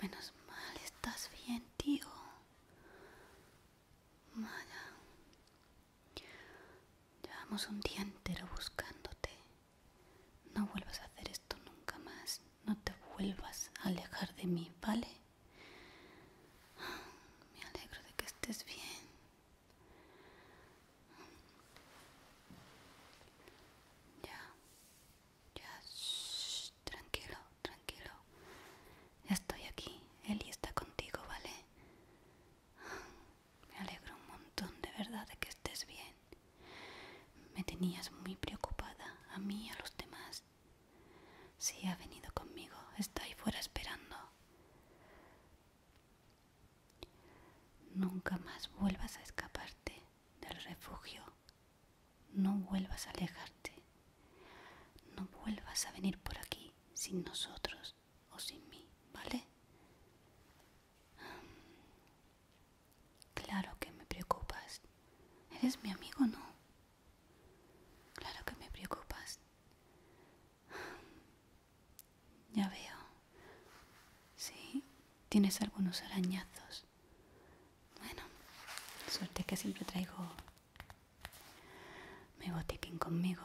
Menos mal, estás bien, tío. Llevamos un día entero buscándote. No vuelvas a hacer esto nunca más. No te vuelvas a alejar de mí, ¿vale? Me alegro de que estés bien. Ya, ya, tranquilo, tranquilo. Estoy aquí. Eli está contigo, ¿vale? Me alegro un montón de verdad de que estés bien. Me tenías muy preocupada, a mí y a los demás. Sí, ha venido conmigo, está ahí fuera esperando. Nunca más vuelvas a escaparte del refugio. No vuelvas a alejarte. No vuelvas a venir por aquí sin nosotros o sin mí, ¿vale? Claro que me preocupas. Eres mi amigo, ¿no? Claro que me preocupas. Ya veo. Sí, tienes algunos arañazos. Bueno, suerte que siempre traigo mi botiquín conmigo.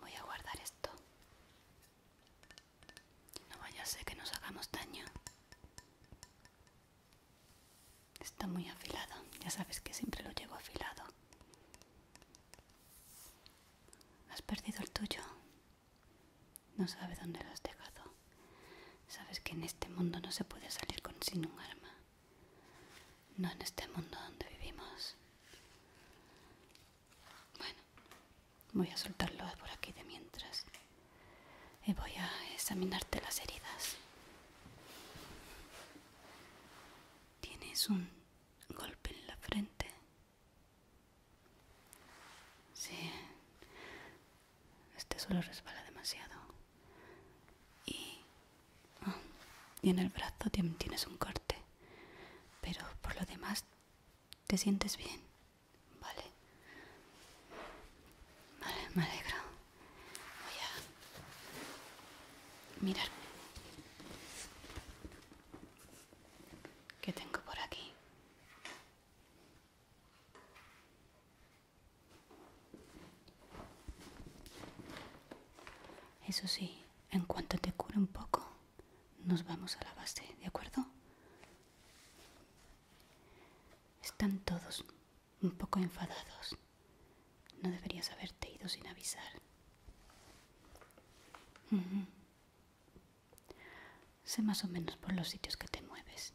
Voy a guardar esto. No vaya a ser que nos hagamos daño. Está muy afilado. Ya sabes que siempre lo llevo afilado. Has perdido el tuyo. No sabes dónde lo has dejado. Sabes que en este mundo no se puede salir sin un arma. No en este mundo donde vivimos. Bueno, voy a soltarlo por aquí de mientras. Y voy a examinarte las heridas. Tienes un golpe en la frente. Sí. Este solo resbala demasiado. Y y en el brazo tienes un corte. Pero por lo demás, ¿te sientes bien? Vale. Vale, me alegro. Voy a mirar. ¿Qué tengo por aquí? Eso sí, en cuanto te cure un poco, nos vamos a la base, ¿de acuerdo? Están todos un poco enfadados. No deberías haberte ido sin avisar. Sé más o menos por los sitios que te mueves.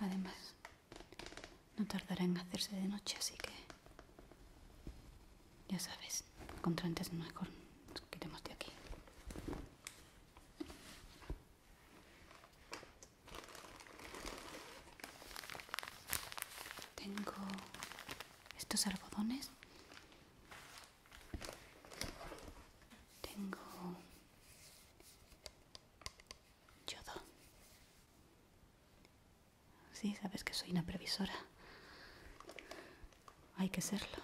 Además, no tardará en hacerse de noche, así que... Ya sabes, contra antes mejor nos quitemos de aquí. Tengo estos algodones tengo yodo. Sí, sabes que soy una previsora. Hay que serlo.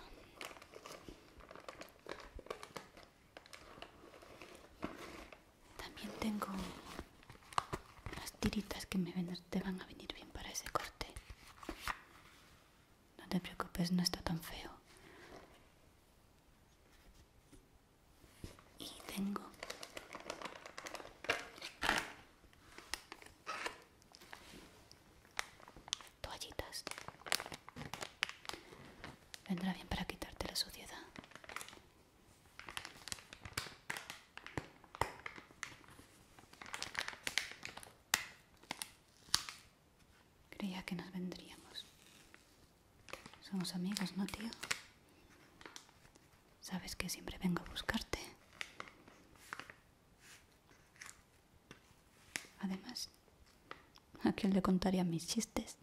También tengo unas tiritas que me te van a venir bien para ese corte. No te preocupes, no está tan feo. Y tengo toallitas. Vendrá bien para quitarte la suciedad. Creía que nos vendríamos. Somos amigos, ¿no, tío? Sabes que siempre vengo a buscarte. Además, ¿a quién le contaría mis chistes?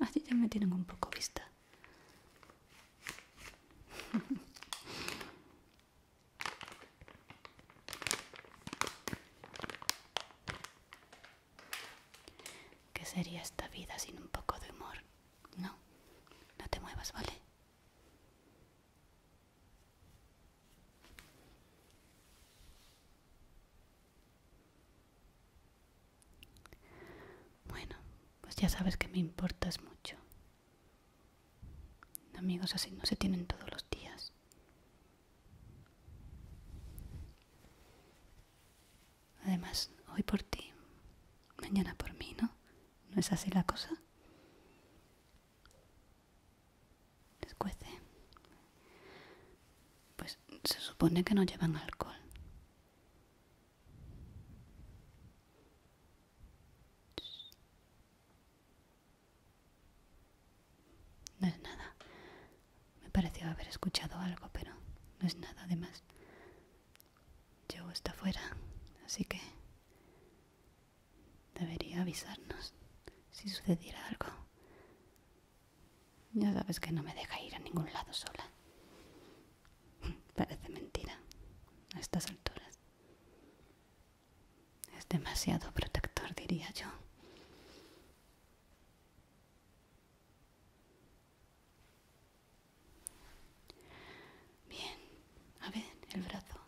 Así ya me tienen un poco vista. ¿Qué sería esta vida sin un poco de humor? No, no te muevas, ¿vale? Bueno, pues ya sabes que me importas mucho. Amigos así no se tienen todos los días. Además, hoy por ti, mañana por mí, ¿no? ¿No es así la cosa? Les Pues se supone que no llevan alcohol. No es nada. Me pareció haber escuchado algo, pero no es nada. Además, Llevo está fuera, así que debería avisarnos si sucediera algo. Ya sabes que no me deja ir a ningún lado sola. Parece mentira a estas alturas. Es demasiado protector, diría yo. Bien, a ver, el brazo.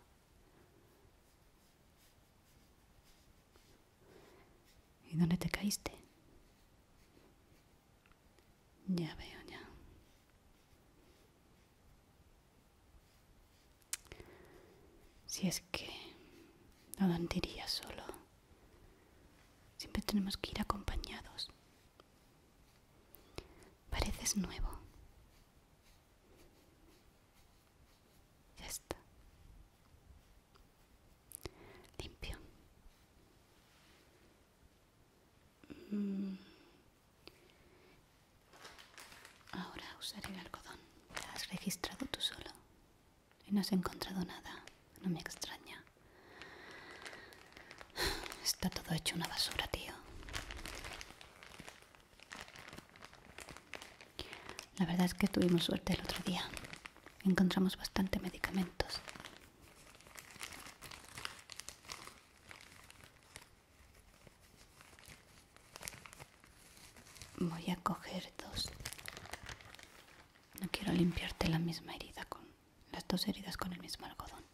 ¿Y dónde te caíste? Ya veo, ya. Si es que no diría solo. Siempre tenemos que ir acompañados. Pareces nuevo. Ya está. Limpio. Mm. Ahora usaré el algodón. ¿Te has registrado tú solo? Y no has encontrado nada. No me extraña. Está todo hecho una basura, tío. La verdad es que tuvimos suerte el otro día. Encontramos bastante medicamentos. Voy a coger dos. No quiero limpiarte la misma herida con las dos heridas con el mismo algodón.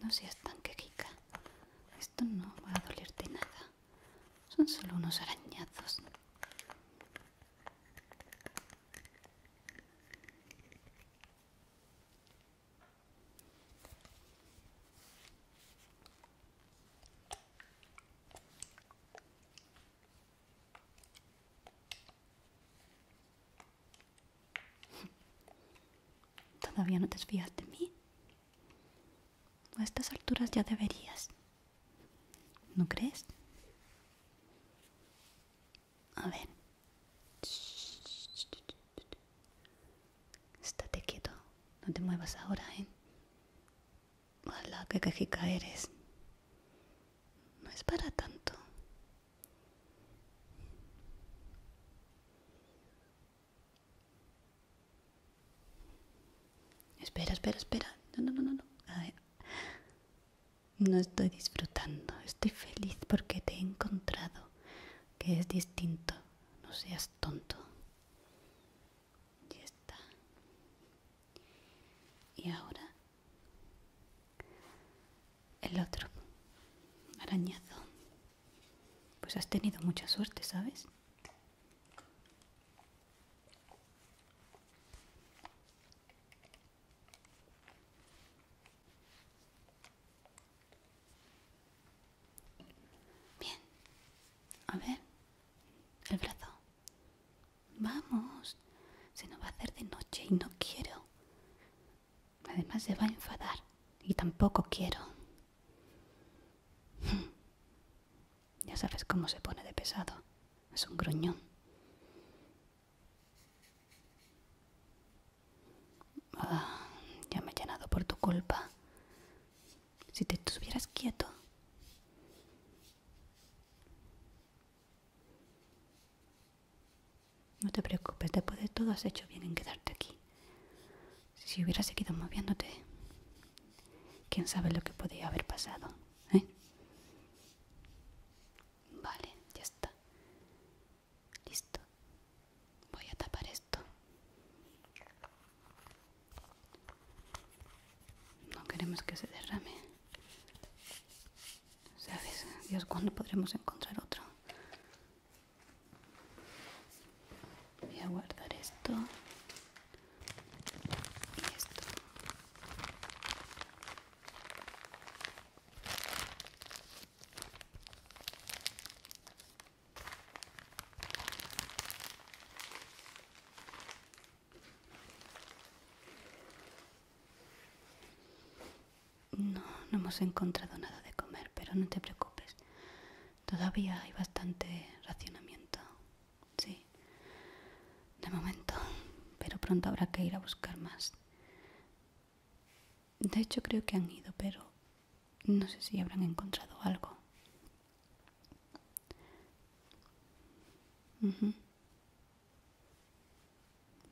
No seas tan quejica. Esto no va a dolerte nada. Son solo unos arañazos. ¿Todavía no te fías de mí? A estas alturas ya deberías. ¿No crees? A ver. Estate quieto. No te muevas ahora, ¿eh? Mala, que cajica eres. No es para tanto. Espera, espera, espera. No, no, no, no. No, no estoy disfrutando. Estoy feliz porque te he encontrado. Que es distinto. No seas tonto. Ya está. Y ahora el otro. Arañazo. Pues has tenido mucha suerte, ¿sabes? Bien. A ver. El brazo. Vamos. Se nos va a hacer de noche y no quiero. Además se va a enfadar y tampoco quiero. Ya sabes cómo se pone de pesado. Es un gruñón. Ah, ya me he llenado por tu culpa. Si te estuvieras quieto. No te preocupes, después de todo has hecho bien en quedarte aquí. Si hubiera seguido moviéndote, quién sabe lo que podría haber pasado, ¿eh? Vale, ya está. Listo. Voy a tapar esto. No queremos que se derrame. ¿Sabes? Dios, ¿cuándo podremos encontrar otro? Voy a guardar esto. Y esto. No, no hemos encontrado nada de comer, pero no te preocupes. Todavía hay bastante racionamiento. Sí. De momento, pero pronto habrá que ir a buscar más. De hecho, creo que han ido, pero no sé si habrán encontrado algo.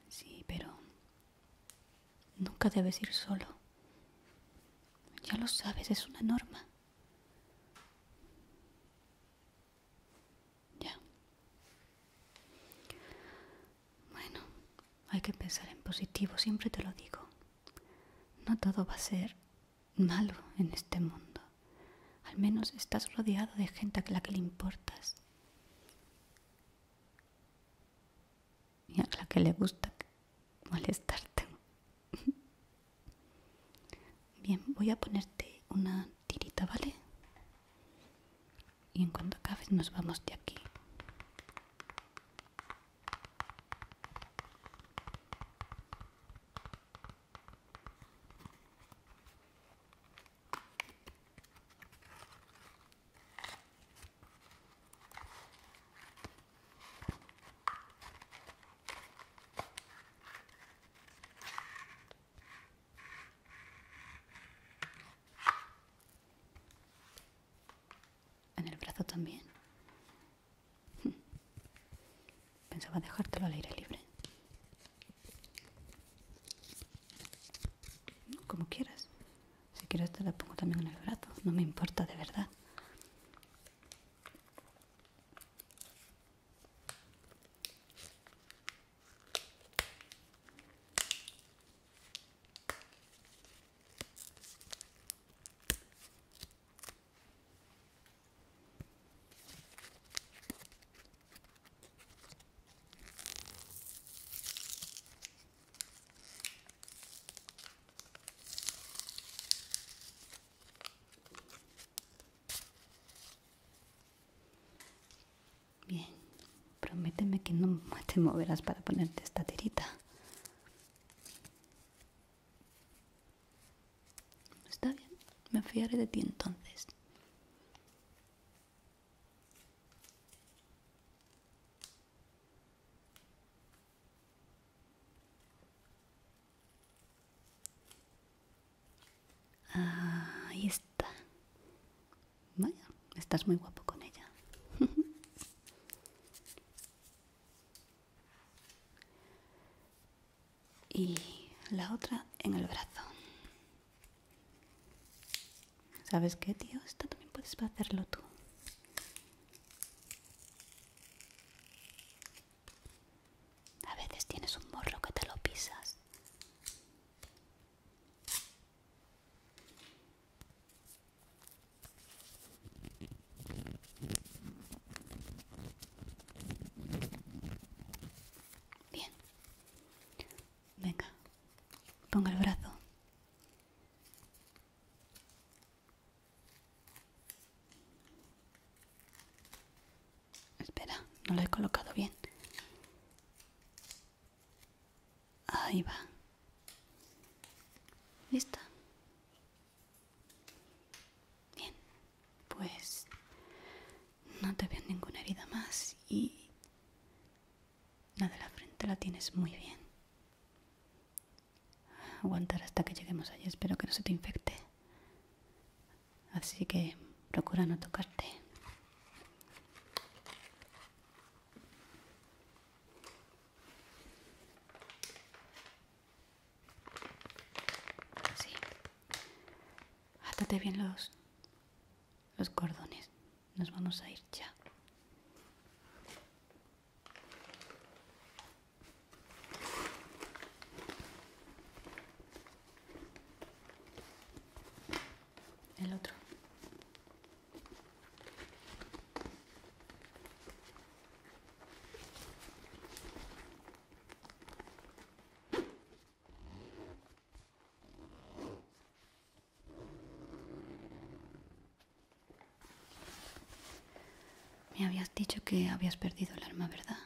Sí, pero nunca debes ir solo. Ya lo sabes, es una norma. Ya. Bueno, hay que pensar en positivo, siempre te lo digo. No todo va a ser malo en este mundo. Al menos estás rodeado de gente a la que le importas. Y a la que le gusta molestarte. Bien, voy a ponerte una tirita, ¿vale? Y en cuanto acabes nos vamos de aquí. En el brazo también. Pensaba dejártelo al aire libre. Como quieras. Si quieres te la pongo también en el brazo. No me importa, de verdad. Bien, prométeme que no te moverás para ponerte esta tirita. Está bien, me fiaré de ti entonces. Ah, ahí está. Vaya, estás muy guapo con ella. y la otra en el brazo. ¿Sabes qué, tío? Esto también puedes hacerlo tú. A veces tienes un morro que te lo pisas. Bien. Venga. Ponga el brazo. Espera, no lo he colocado bien. Ahí va. ¿Lista? Bien pues no te veo ninguna herida más y la de la frente la tienes muy bien. Aguantar hasta que lleguemos allí, espero que no se te infecte. Así que procura no tocarte. Sí, Atate bien los, los cordones. Nos vamos a ir ya. El otro. Me habías dicho que habías perdido el arma, ¿verdad?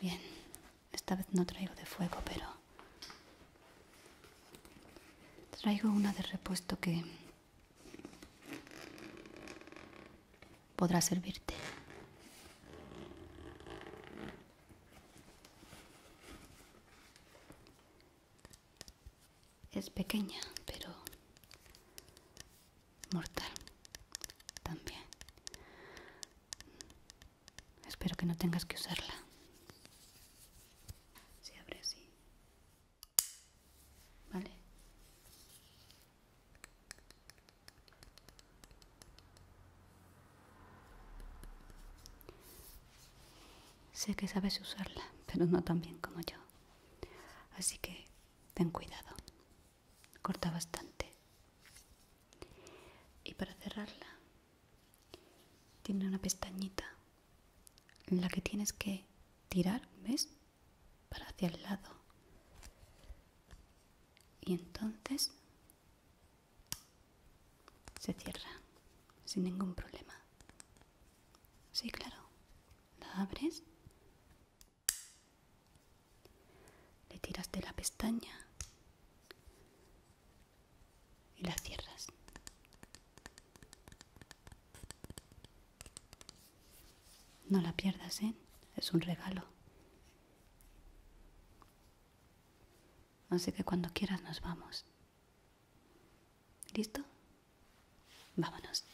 Bien, esta vez no traigo de fuego, pero traigo una de repuesto que podrá servirte. Es pequeña, pero mortal también. Espero que no tengas que usarla. Si abre así. ¿Vale? Sé que sabes usarla, pero no tan bien como yo. Así que ten cuidado. Corta bastante. Y para cerrarla, tiene una pestañita en la que tienes que tirar, ¿ves? para hacia el lado. Y entonces se cierra sin ningún problema. Sí, claro. La abres. Le tiras de la pestaña y la cierras. No la pierdas, ¿eh? Es un regalo. Así que cuando quieras nos vamos. ¿Listo? Vámonos.